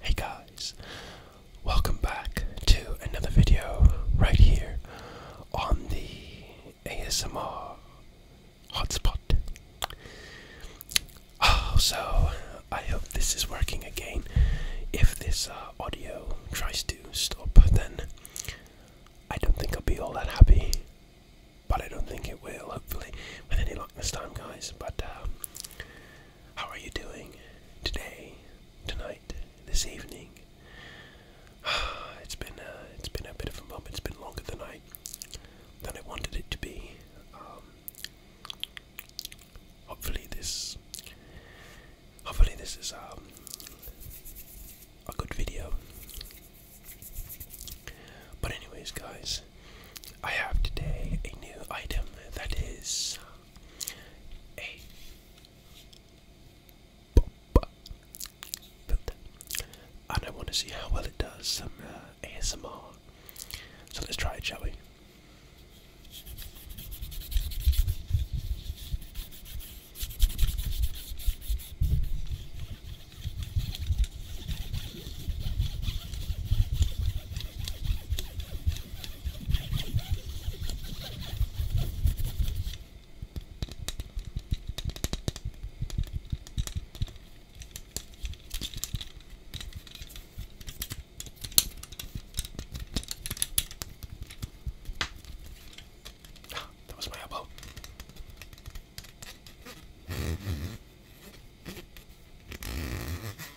Hey guys, welcome back to another video right here on the ASMR hotspot. Oh, so I hope this is working again. If this uh, audio tries to stop, then I don't think I'll be all that happy. But I don't think it will, hopefully. With any luck this time, guys. But um, how are you doing today, tonight, this evening? It's been uh, it's been a bit of a moment. It's been longer than I than I wanted it to be. Um, hopefully this hopefully this is um, a good video. But anyways, guys, I have today a new item that is a builder, and I want to see how well it does some uh, ASMR. So let's try it, shall we? That was my elbow.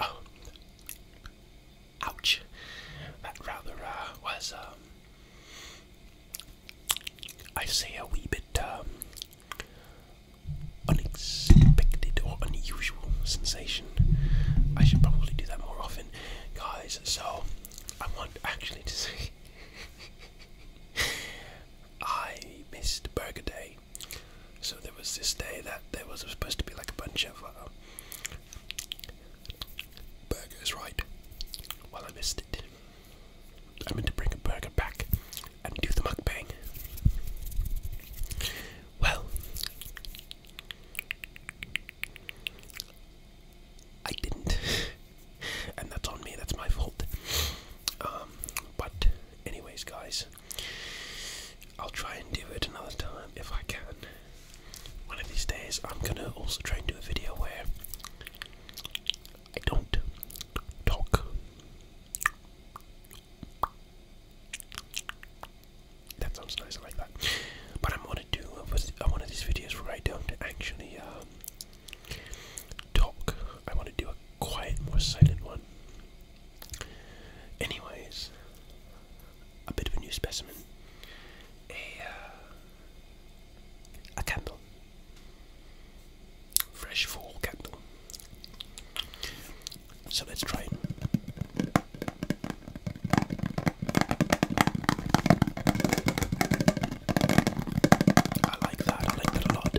Ouch. That rather uh, was, um, I say, a wee bit um, unexpected or unusual sensation. I should probably do that more often, guys. So, I want actually to say I missed Burger Day. So there was this day that there was supposed to be like a bunch of uh, burgers, right? Well, I missed it. I am going to bring a burger back and do the mukbang. Well, I didn't, and that's on me. That's my fault. Um, but Anyways, guys, I'll try and do it another time if I can. One of these days, I'm gonna also try and do a video where I don't talk. That sounds nice, I like that. But I'm gonna do one of these videos where I don't actually um, Talk. I want to do a quiet, more silent one. Anyways, a bit of a new specimen. A, uh, a candle. Fresh fall candle. So let's try it. I like that, I like that a lot.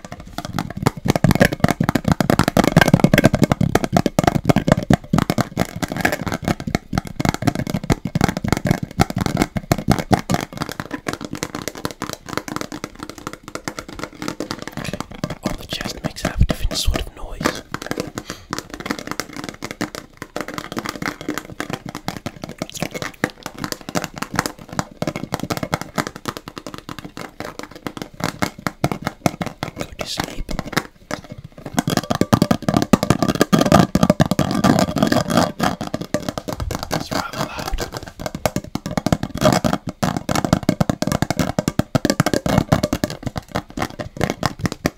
On oh, the chest makes out a different sort of noise. Go to sleep. It's rather loud.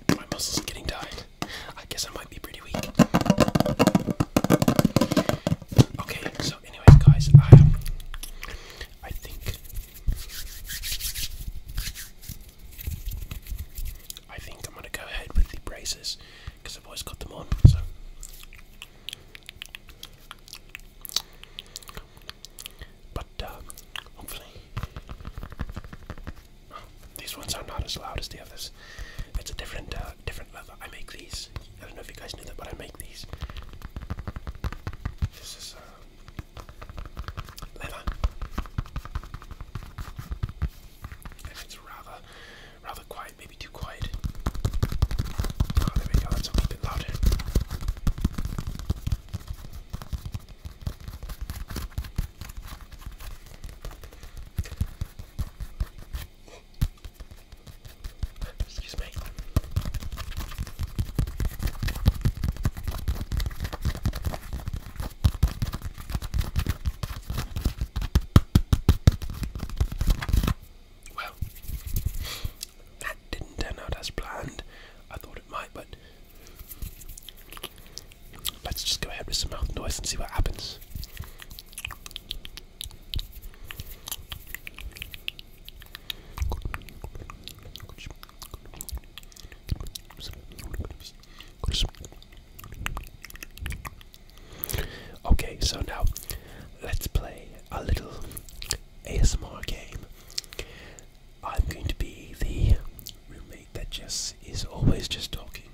My muscles are getting tired. I guess I might be pretty weak. Okay, so anyways, guys, I um, I think I think I'm gonna go ahead with the braces because I've always got them on. So. But um, hopefully, oh, these ones are not as loud as the others. It's a different, uh, different leather. I make these. I don't know if you guys knew that, but I make these leather, and it's rather, rather quiet. Maybe too quiet. Oh, there we go. That's a little bit louder. Excuse me. Well, that didn't turn out as planned. I thought it might, but let's just go ahead with some mouth noise and see what happens. Okay, so now let's play a little ASMR game. I'm going to be the roommate that just is always just talking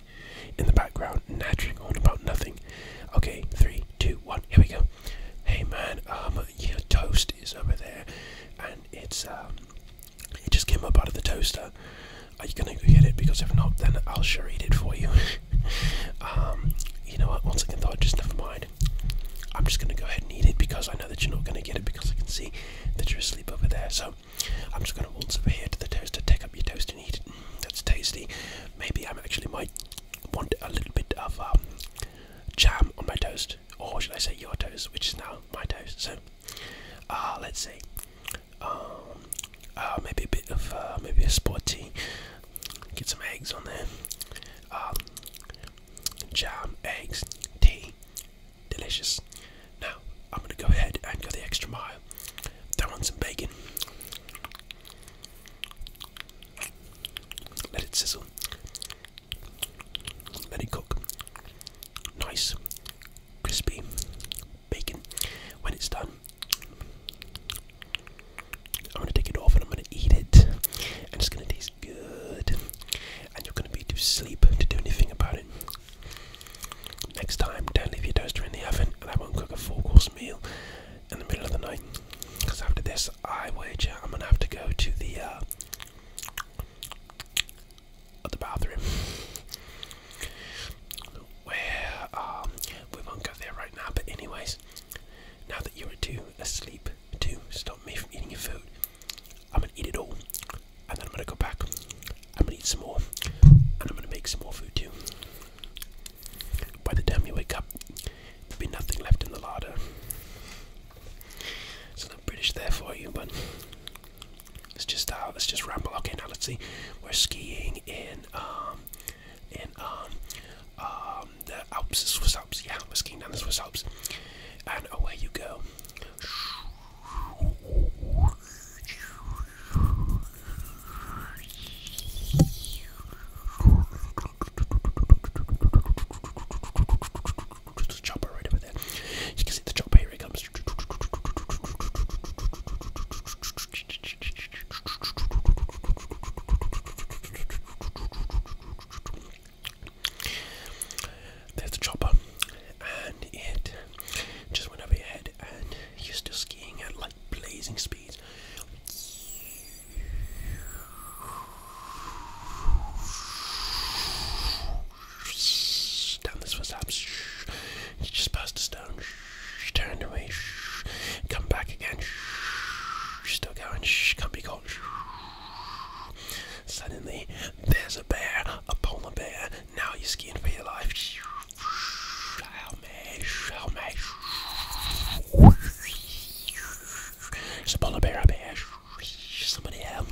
in the background, nattering on about nothing. Okay, three, two, one, here we go. Hey man, um, other toast is over there, and it's um, it just came up out of the toaster. Are you gonna go get it? Because if not, then I'll share it for you. um, you know what? Once again, though, just never mind. I'm just gonna go ahead and eat it because I know that you're not gonna get it because I can see that you're asleep over there. So I'm just gonna waltz over here to the toaster, take up your toast and eat it. Mm, that's tasty. Maybe I actually might want a little bit of um, jam on my toast or should I say your toast, which is now my toast? So, uh, let's see. Um, uh, maybe a bit of uh, maybe a sporty. Get some eggs on there. Um, jam, eggs, tea, delicious. Now I'm gonna go ahead and go the extra mile. Throw on some bacon. Let it sizzle. Let it cook. Nice, crispy bacon. When it's done, I'm gonna take it off and I'm gonna eat it. And it's gonna taste good. And you're gonna be too sleep to do anything about it. Next time, don't leave your toaster in the oven, and I won't cook a four-course meal in the middle of the night. Because after this, I wager I'm gonna have to go to the uh, uh, the bathroom. Where um, we won't go there right now, but anyways, now that you're too asleep to stop me from eating your food, I'm gonna eat it all, and then I'm gonna go back. I'm gonna eat some more, and I'm gonna make some more food too. By the time you wake up, there'll be nothing left in the larder. It's a British there for you, but let's just start. Let's just ramble. Okay, now let's see. We're skiing in um in um um the Alps, the Swiss Alps. Yeah, we're skiing down the Swiss Alps, and away you go. Just a chopper right over there. You can see the chopper, here it comes. There's the chopper, and it just went over your head, and you're still skiing at like blazing speeds. Down this one stop. just passed a stone. Turned away. Come back again. Still going. Can't be caught. Suddenly, there's a bear, a polar bear. Now you're skiing for your life. Help me, help It's a polar bear, a bear. Somebody help.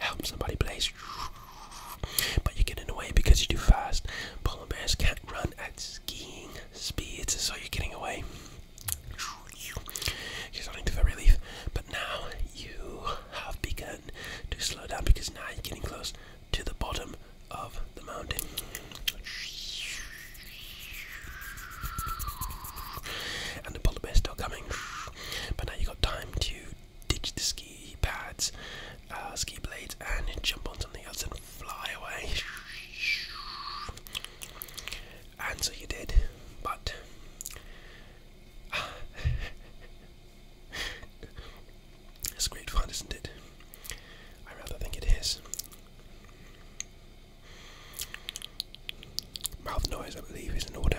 Help somebody, please. But you're getting away because you're too fast. Polar bears can't run at skiing speeds, so you're getting away. You're starting to feel relief, but now you have begun to slow down because now you're getting close to the bottom of the mountain. And the polar bear's still coming. But now you've got time to ditch the ski pads, uh, ski blades, and jump on something else and fly away. And so you did, but it's great fun, isn't it? I rather think it is. Mouth noise, I believe, is in order.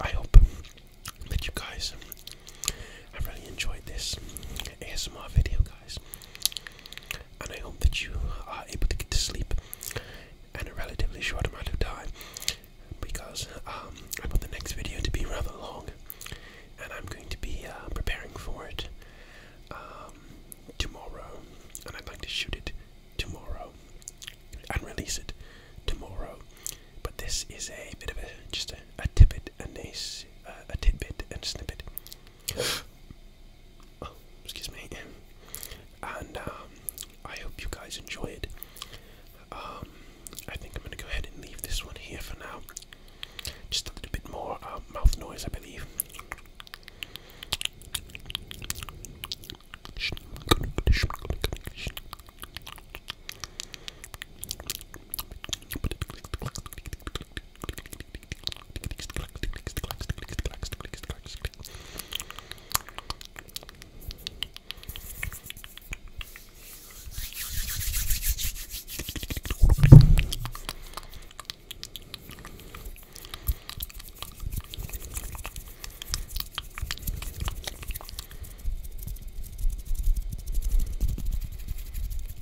I hope that you guys have really enjoyed this ASMR video, guys, and I hope that you are able to get to sleep in a relatively short amount of time because um, I want the next video to be rather long and I'm going to be uh, preparing for it um, tomorrow, and I'd like to shoot it tomorrow and release it tomorrow. But this is a bit of a just a, a tidbit, a nice, uh, a tidbit and snippet. Oh, excuse me. And um, I hope you guys enjoy it. Um, I think I'm going to go ahead and leave this one here for now. Just a little bit more uh, mouth noise, I believe.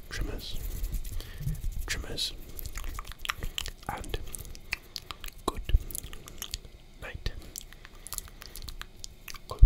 Trimmers, trimmers, and good night. Good.